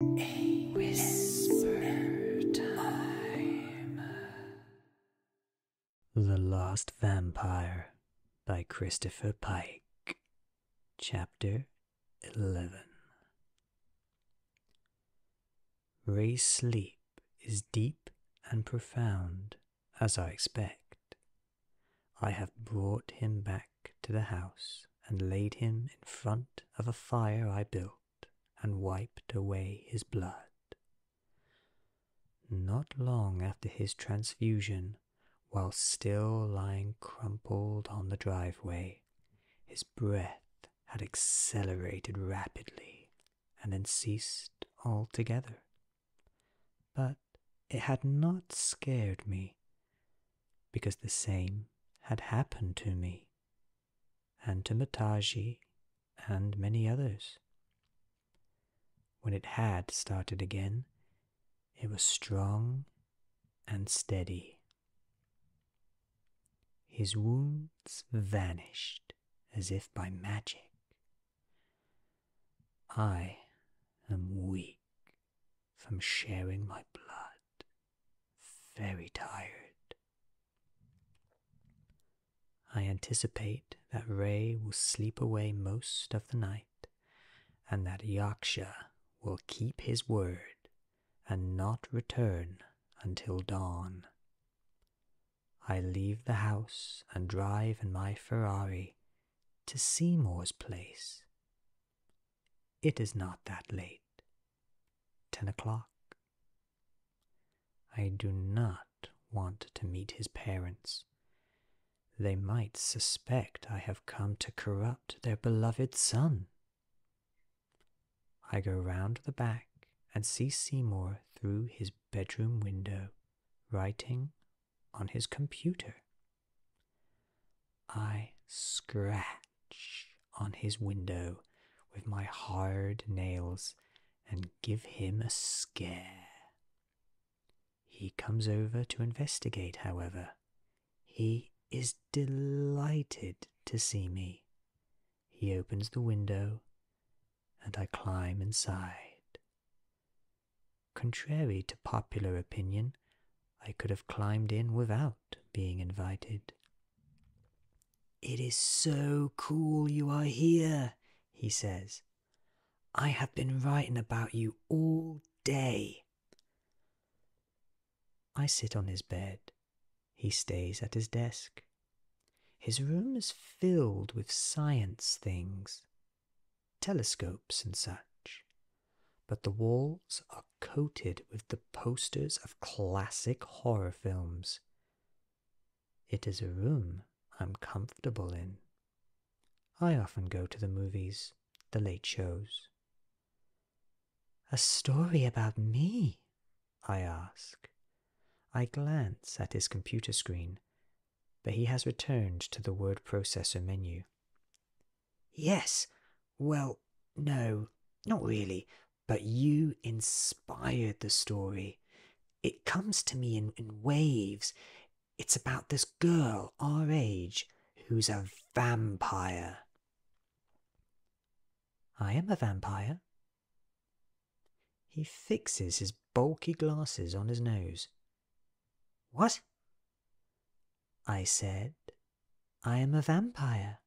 The Lost Vampire by Christopher Pike. Chapter 11. Ray's sleep is deep and profound, as I expect. I have brought him back to the house and laid him in front of a fire I built, and wiped away his blood. Not long after his transfusion, while still lying crumpled on the driveway, his breath had accelerated rapidly and then ceased altogether. But it had not scared me, because the same had happened to me and to Mataji and many others. When it had started again, it was strong and steady. His wounds vanished as if by magic. I am weak from sharing my blood very tired. I anticipate that Ray will sleep away most of the night, and that Yaksha will keep his word and not return until dawn. I leave the house and drive in my Ferrari to Seymour's place. It is not that late, Ten o'clock. I do not want to meet his parents. They might suspect I have come to corrupt their beloved son. I go round the back and see Seymour through his bedroom window, writing on his computer. I scratch on his window with my hard nails and give him a scare. He comes over to investigate, however. He is delighted to see me. He opens the window and I climb inside. Contrary to popular opinion, I could have climbed in without being invited. It is so cool you are here, he says. I have been writing about you all day. I sit on his bed. He stays at his desk. His room is filled with science things, telescopes and such, but the walls are coated with the posters of classic horror films. It is a room I'm comfortable in. I often go to the movies, the late shows. A story about me? I ask. I glance at his computer screen, but he has returned to the word processor menu. Yes. Well, no, not really. But you inspired the story. It comes to me in, waves. It's about this girl our age who's a vampire. I am a vampire. He fixes his bulky glasses on his nose. What? I said, I am a vampire.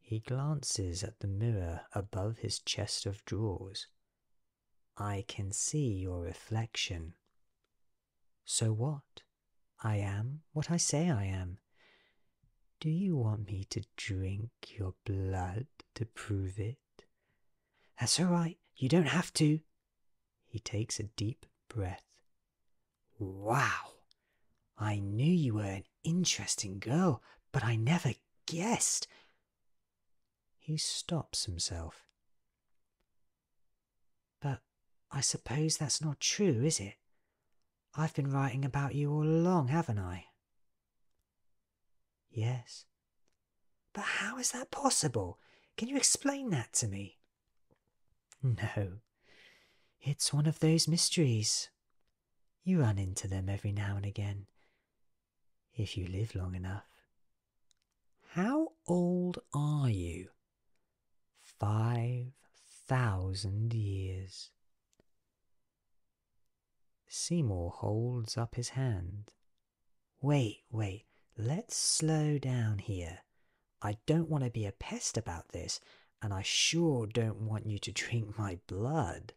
He glances at the mirror above his chest of drawers. I can see your reflection. So what? I am what I say I am. Do you want me to drink your blood to prove it? That's all right, you don't have to. He takes a deep breath Wow! I knew you were an interesting girl, but I never guessed. He stops himself. But I suppose that's not true, is it? I've been writing about you all along, haven't I? Yes. But how is that possible? Can you explain that to me? No, it's one of those mysteries. You run into them every now and again, if you live long enough. How old are you? Five thousand years. Seymour holds up his hand. Wait, wait, let's slow down here. I don't want to be a pest about this, and I sure don't want you to drink my blood.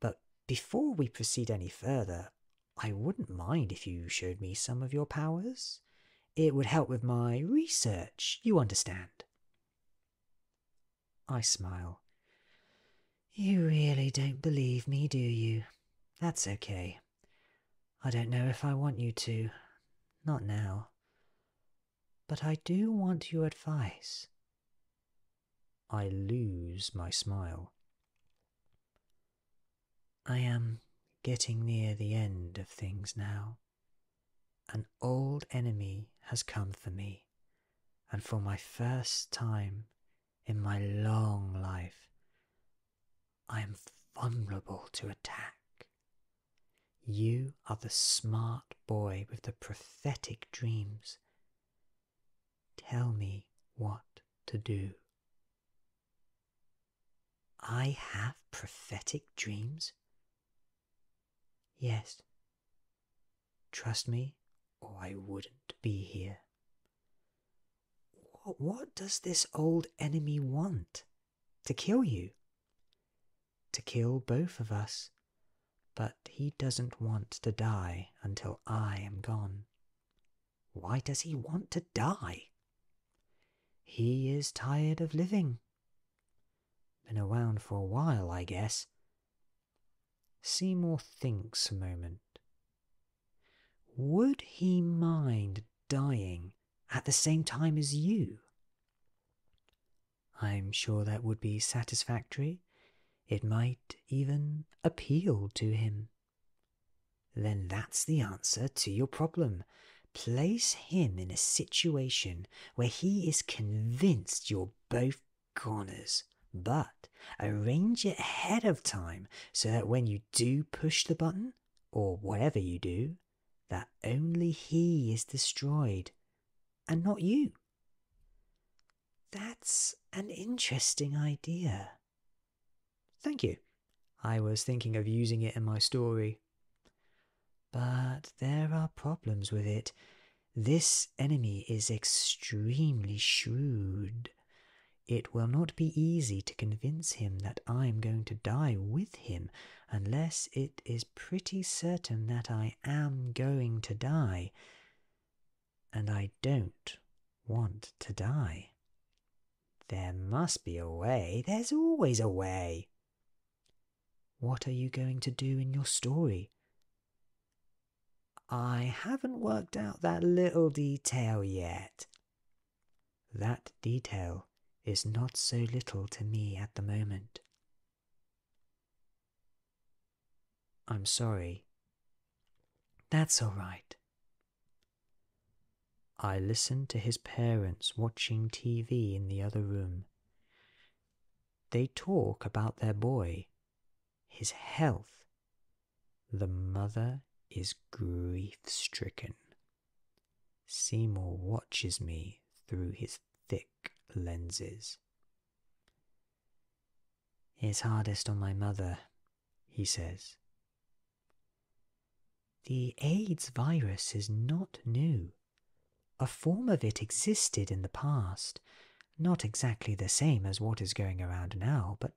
But before we proceed any further, I wouldn't mind if you showed me some of your powers. It would help with my research, you understand. I smile. You really don't believe me, do you? That's okay. I don't know if I want you to. Not now. But I do want your advice. I lose my smile. I am getting near the end of things now. An old enemy has come for me, and for my first time in my long life, I am vulnerable to attack you are the smart boy with the prophetic dreams. Tell me what to do. I have prophetic dreams? Yes. Trust me, or I wouldn't be here. What does this old enemy want? To kill you. To kill both of us. But he doesn't want to die until I am gone. Why does he want to die? He is tired of living. Been around for a while, I guess. Seymour thinks a moment. Would he mind dying at the same time as you. I'm sure that would be satisfactory. It might even appeal to him. Then that's the answer to your problem. Place him in a situation where he is convinced you're both goners. but arrange it ahead of time so that when you do push the button, or whatever you do, that only he is destroyed and not you. That's an interesting idea. Thank you. I was thinking of using it in my story. But there are problems with it. This enemy is extremely shrewd. It will not be easy to convince him that I'm going to die with him unless it is pretty certain that I am going to die. And I don't want to die. There must be a way. There's always a way. What are you going to do in your story? I haven't worked out that little detail yet. That detail is not so little to me at the moment. I'm sorry. That's all right. I listen to his parents watching TV in the other room. They talk about their boy, his health. The mother is grief stricken. Seymour watches me through his thick lenses. It's hardest on my mother, he says. The AIDS virus is not new. A form of it existed in the past, not exactly the same as what is going around now, but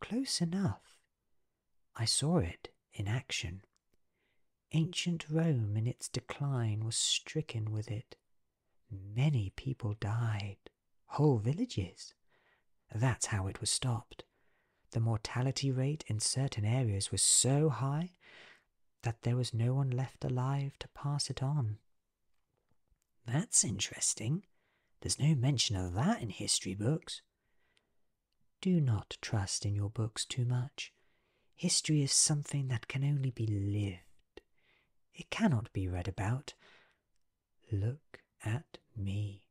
close enough. I saw it in action. Ancient Rome in its decline was stricken with it. Many people died, whole villages. That's how it was stopped. The mortality rate in certain areas was so high that there was no one left alive to pass it on. That's interesting. There's no mention of that in history books. Do not trust in your books too much. History is something that can only be lived, it cannot be read about. Look at me.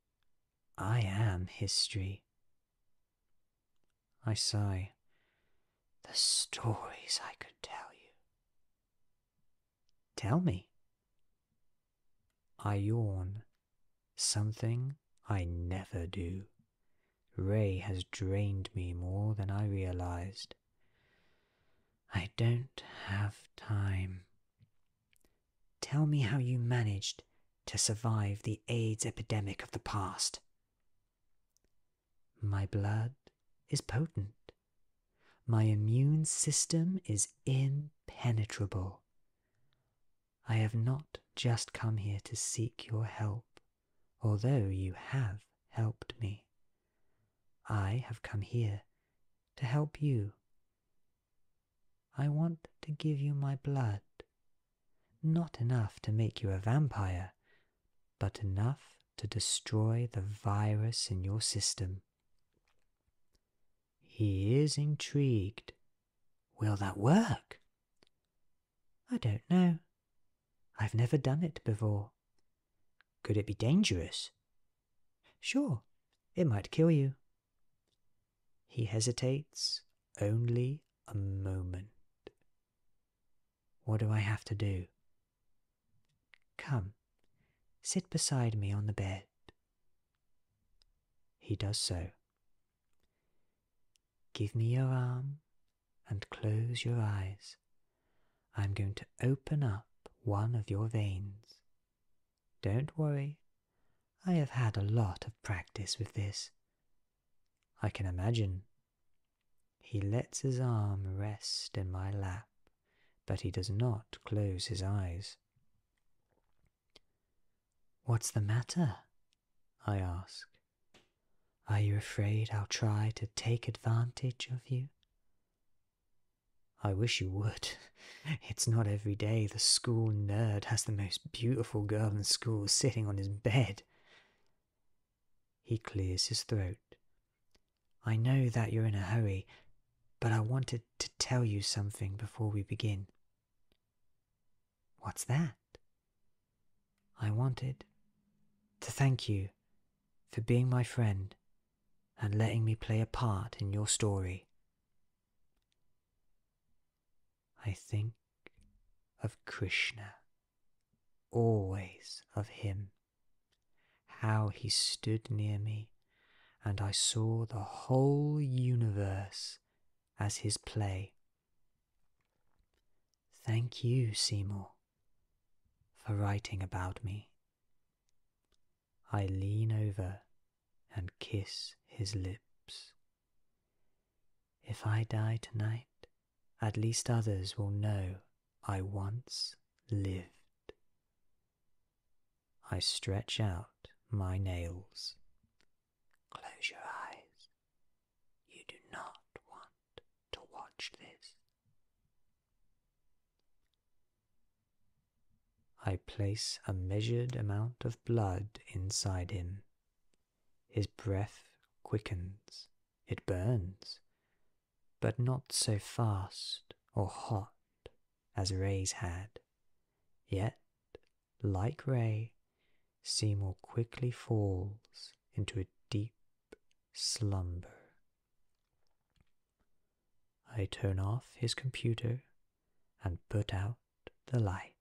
I am history. I sigh. The stories I could tell you. Tell me. I yawn, something I never do. Ray has drained me more than I realized. I don't have time. Tell me how you managed to survive the AIDS epidemic of the past. My blood is potent. My immune system is impenetrable. I have not just come here to seek your help, although you have helped me. I have come here to help you. I want to give you my blood, not enough to make you a vampire, but enough to destroy the virus in your system. He is intrigued. Will that work? I don't know. I've never done it before. Could it be dangerous? Sure, it might kill you. He hesitates only a moment. What do I have to do? Come, sit beside me on the bed. He does so. Give me your arm and close your eyes. I'm going to open up one of your veins. Don't worry, I have had a lot of practice with this. I can imagine. He lets his arm rest in my lap, but he does not close his eyes. What's the matter? I ask. Are you afraid I'll try to take advantage of you? I wish you would. It's not every day the school nerd has the most beautiful girl in school sitting on his bed. He clears his throat. I know that you're in a hurry, but I wanted to tell you something before we begin. What's that? I wanted to thank you for being my friend and letting me play a part in your story. I think of Krishna, always of him, how he stood near me, and I saw the whole universe as his play Thank you, Seymour, for writing about me. I lean over and kiss his lips. If I die tonight, at least others will know I once lived. I stretch out my nails Close your eyes. You do not want to watch this. I place a measured amount of blood inside him. His breath quickens, it burns, but not so fast or hot as Ray's had, yet like Ray, Seymour quickly falls into a deep slumber. I turn off his computer and put out the light.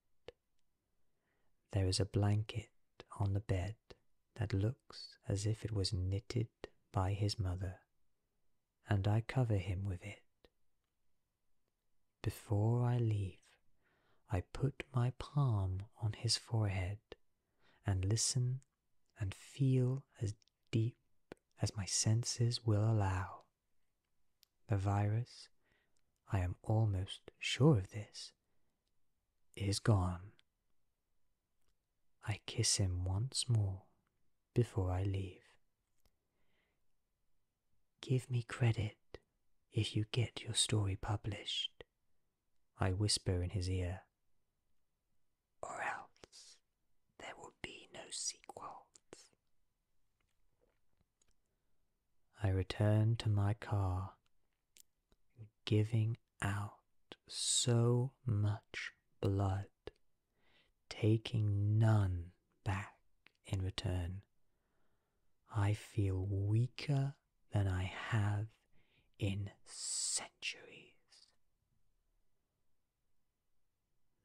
There is a blanket on the bed that looks as if it was knitted by his mother, and I cover him with it. Before I leave, I put my palm on his forehead and listen and feel as deep as my senses will allow. The virus, I am almost sure of this, is gone. I kiss him once more before I leave. Give me credit if you get your story published, I whisper in his ear, or else there will be no sequels. I return to my car, giving out so much blood, taking none back in return, I feel weaker than I have in centuries.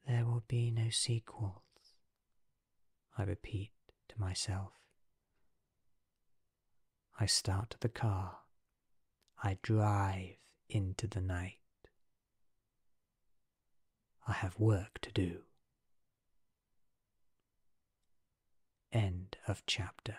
There will be no sequels, I repeat to myself. I start the car. I drive into the night. I have work to do. End of chapter.